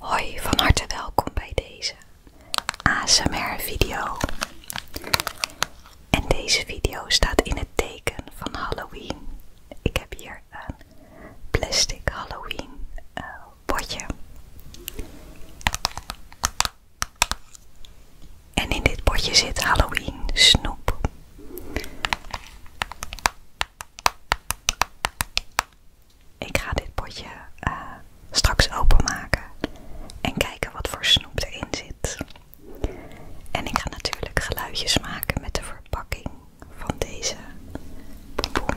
Hoi, van harte welkom bij deze ASMR-video. En deze video staat in het teken van Halloween. Ik heb hier een plastic Halloween eh, potje. En in dit potje zit Halloween snoep. Ik ga dit potje eh, straks openmaken en kijken wat voor snoep erin zit. En ik ga natuurlijk geluidjes maken met de verpakking van deze bonbon.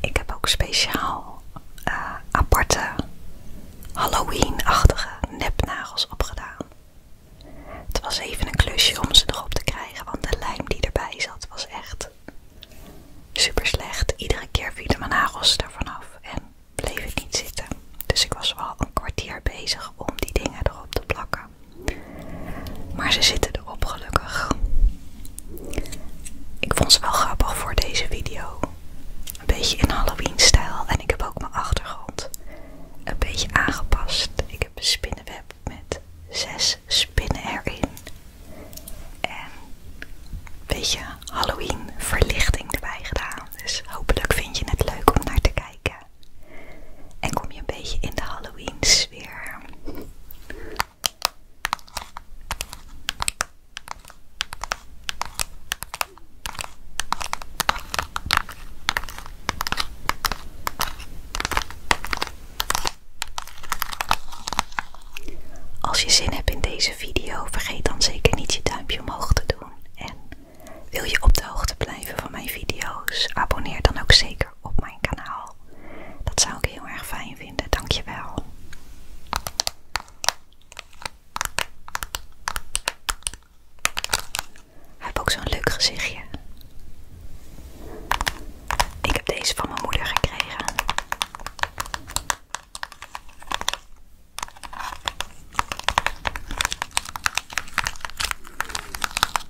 Ik heb ook speciaal eh, aparte Halloween-achtige nepnagels opgedaan. Het was even een klusje om ze erop te krijgen, want de lijm die erbij zat was echt super slecht. Iedere keer vielen mijn nagels ervan af en bleef het niet zitten. Dus ik was wel een kwartier bezig om die dingen erop te plakken. Maar ze zitten erop gelukkig. Ik vond ze wel grappig voor deze video. Een beetje in Halloween stijl. En ik heb ook mijn achtergrond een beetje aangepast. Ik heb een spinnenweb met zes spinnen erin. En een beetje Halloween verlichting erbij gedaan. Dus hopelijk vind je het leuk om naar te kijken. En kom je een beetje in de Halloween sfeer. Als je zin hebt in deze video, vergeet dan zeker niet je duimpje omhoog te doen. En wil je op de hoogte blijven van mijn video's, abonneer dan ook zeker op mijn kanaal. Dat zou ik heel erg fijn vinden. Dankjewel. Hij heeft ook zo'n leuk gezichtje. Ik heb deze van mijn moeder gekregen.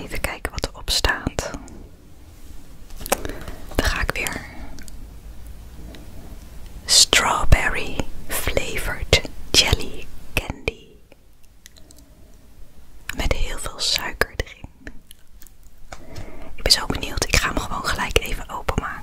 Even kijken wat erop staat. Dan ga ik weer. Strawberry flavored jelly candy. Met heel veel suiker erin. Ik ben zo benieuwd. Ik ga hem gewoon gelijk even openmaken.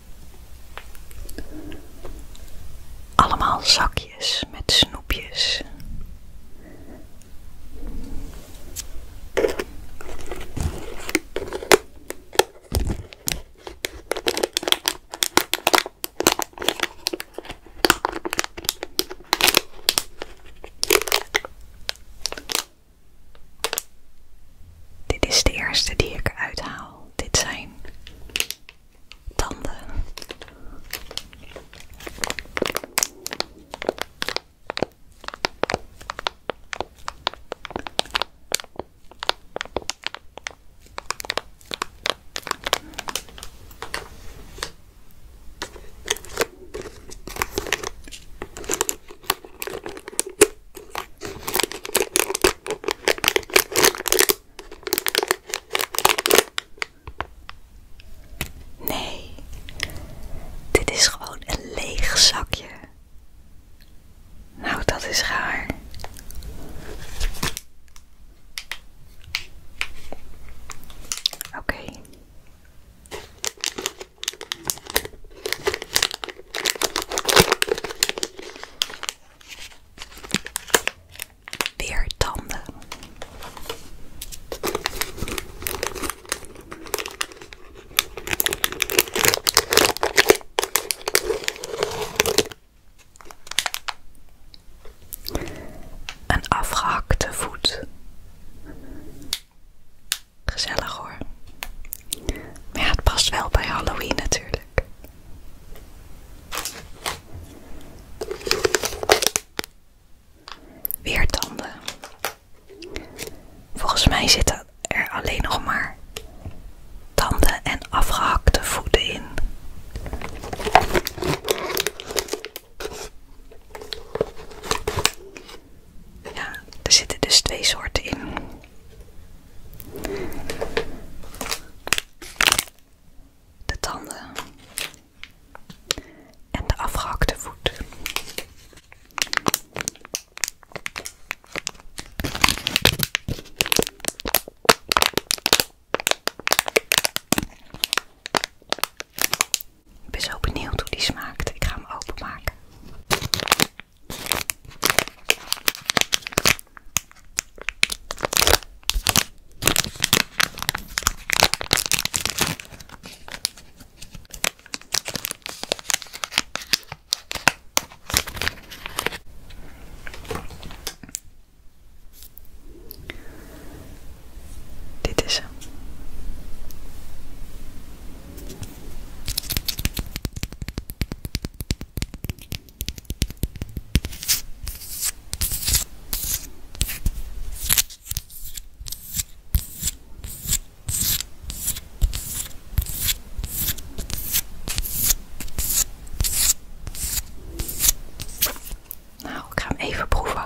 Allemaal zakjes met snoepjes. Dit is de eerste die ik er uithaal. Dit zijn tanden. Nee, dit is gewoon een leeg zakje. Nou, dat is raar. Oké. Weer tanden. Een afgehakte voet. Gezellig hoor. Maar ja, het past wel bij Halloween natuurlijk. Weer tanden. Volgens mij zitten er alleen nog maar tanden en afgehakte voeten in. Ja, er zitten dus twee soorten in. De tanden en de afgehakte voet. Ik ben zo benieuwd hoe die smaakt. Ik ga hem openmaken. Dit is hem. Nou, ik ga hem even proeven.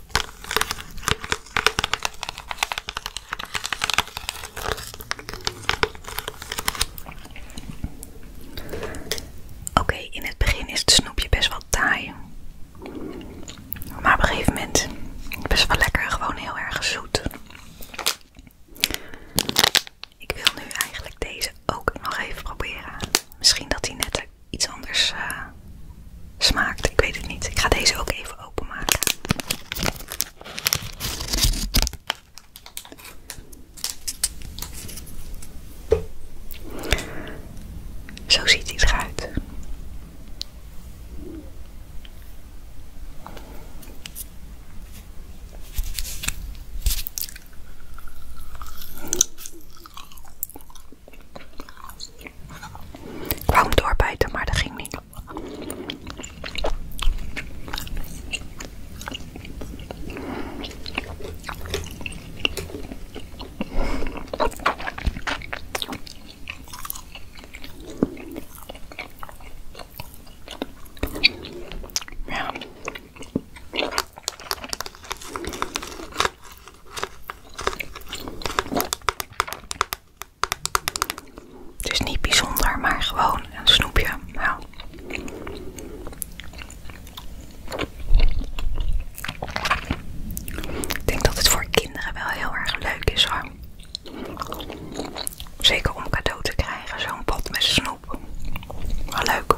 Oké, in het begin is het snoepje best wel taai. Maar op een gegeven moment best wel lekker, gewoon heel erg zoet. Ik wil nu eigenlijk deze ook nog even proberen. Misschien dat hij net iets anders eh, smaakt. Ik weet het niet. Ik ga deze ook even openmaken. Zo ziet ie eruit. Ik doorbijten, maar dat ging niet. Ja. Het is niet bijzonder, maar gewoon een snoepje. Nou. Ik denk dat het voor kinderen wel heel erg leuk is hoor. Zeker om cadeau te krijgen, zo'n pot met snoep. Wel leuk.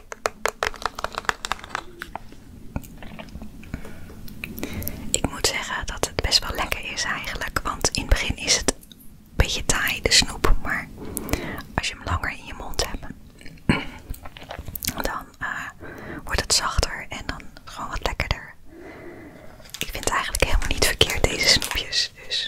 Ik moet zeggen dat het best wel lekker is eigenlijk, want in het begin is het een beetje taai, de snoep, maar als je hem langer in je mond hebt, dan eh, wordt het zachter en dan gewoon wat lekkerder. Ik vind het eigenlijk helemaal niet verkeerd deze snoepjes, dus...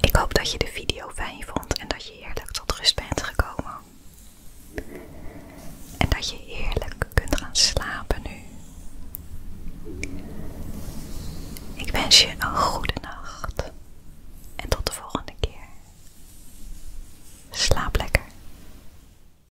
Ik hoop dat je de video fijn vond en dat je eerlijk tot rust bent gekomen. En dat je eerlijk kunt gaan slapen nu. Ik wens je een goede nacht en tot de volgende keer. Slaap lekker.